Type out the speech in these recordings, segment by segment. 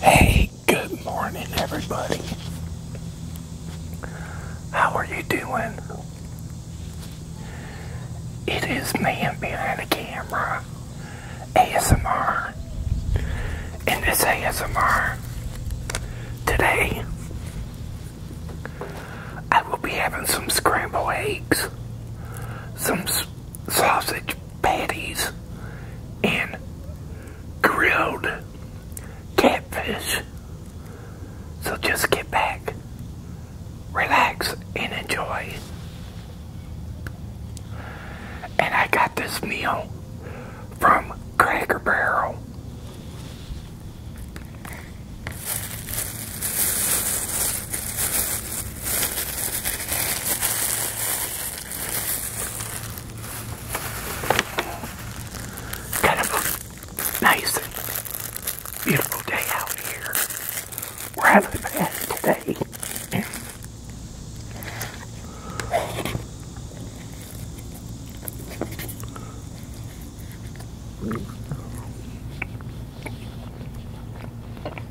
Hey, good morning, everybody. How are you doing? It is man behind the camera, ASMR. And this ASMR today, I will be having some scrambled eggs, some sausage patties and grilled catfish. So just get back, relax, and enjoy. And I got this meal from Cracker Barrel. Kind of a nice, beautiful day out here where I live at today.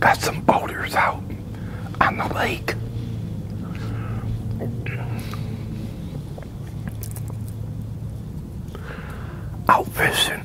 Got some boulders out on the lake. Out fishing.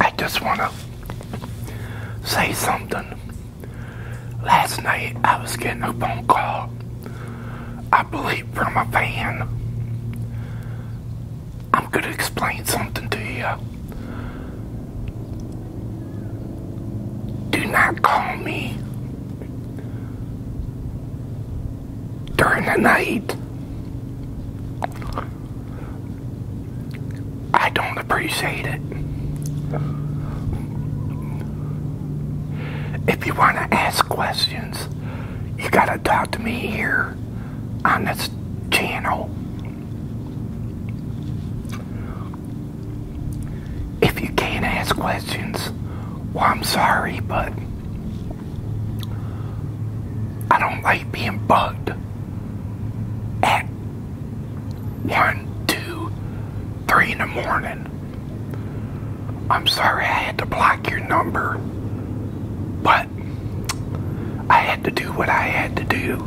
I just want to say something. Last night I was getting a phone call, I believe from a fan. I'm going to explain something to you. Do not call me during the night. I don't appreciate it. If you want to ask questions, you got to talk to me here on this channel. If you can't ask questions, well, I'm sorry, but I don't like being bugged at one, two, three in the morning. I'm sorry I had to block your number, but I had to do what I had to do.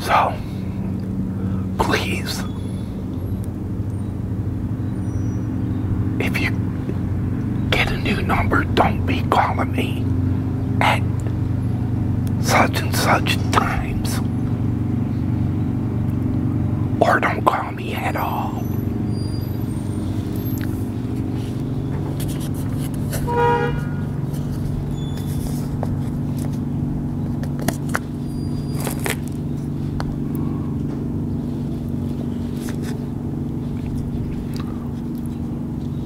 So, please, if you get a new number. Don't be calling me at such and such times. Or don't call me at all.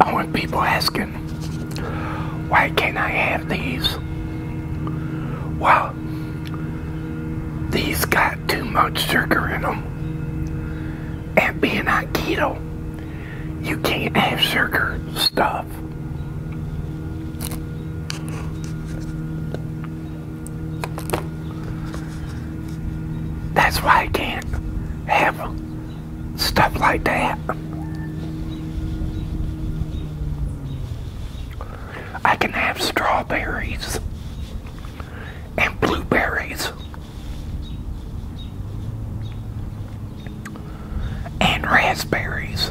I want people asking, why can't I have these? Well, these got too much sugar in them. And being a keto, you can't have sugar stuff. That's why I can't have stuff like that. I can have strawberries and blueberries and raspberries.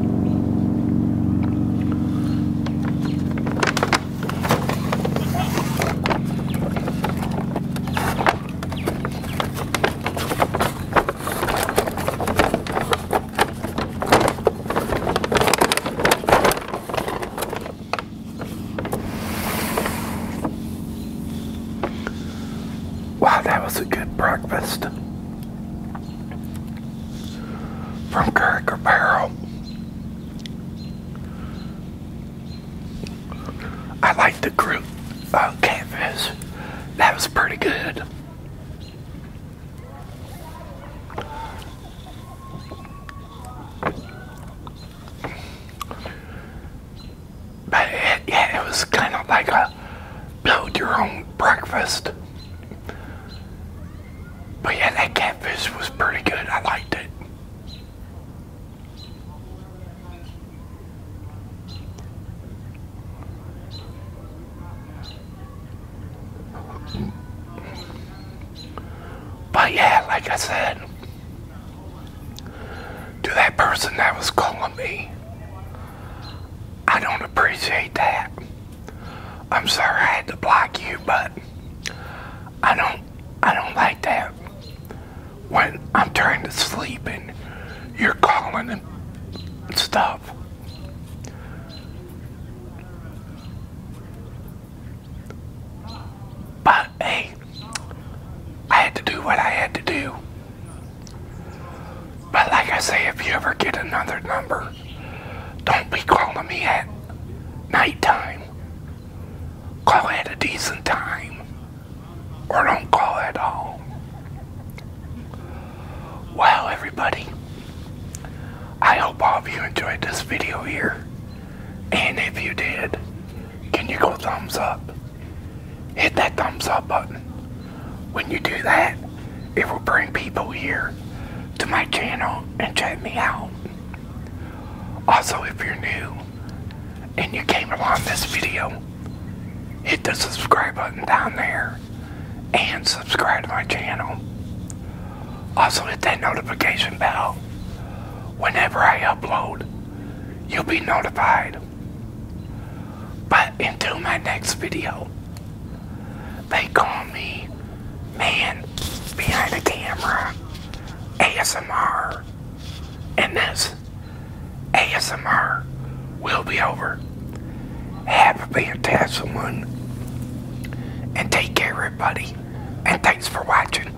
Wow, that was a good breakfast from Cracker Barrel. I like the group uh, canvas. That was pretty good. But yeah, it was kind of like a build your own breakfast. But yeah, that catfish was pretty good. I liked it. But yeah, like I said, to that person that was calling me, I don't appreciate that. I'm sorry I had to block you, but I don't I don't like that. When I'm trying to sleep and you're calling and stuff. But hey, I had to do what I had to do. But like I say, if you ever get another number, don't be calling me at nighttime. Call at a decent time. Or don't call at all. Well, everybody, I hope all of you enjoyed this video here. And if you did, can you go thumbs up? hit that thumbs up button. When you do that, it will bring people here to my channel and check me out. Also, if you're new and you came along this video, hit the subscribe button down there and subscribe to my channel. Also, hit that notification bell. Whenever I upload, you'll be notified. But until my next video, they call me Man Behind the Camera ASMR. And this ASMR will be over. Have a fantastic one. And take care, everybody. And thanks for watching.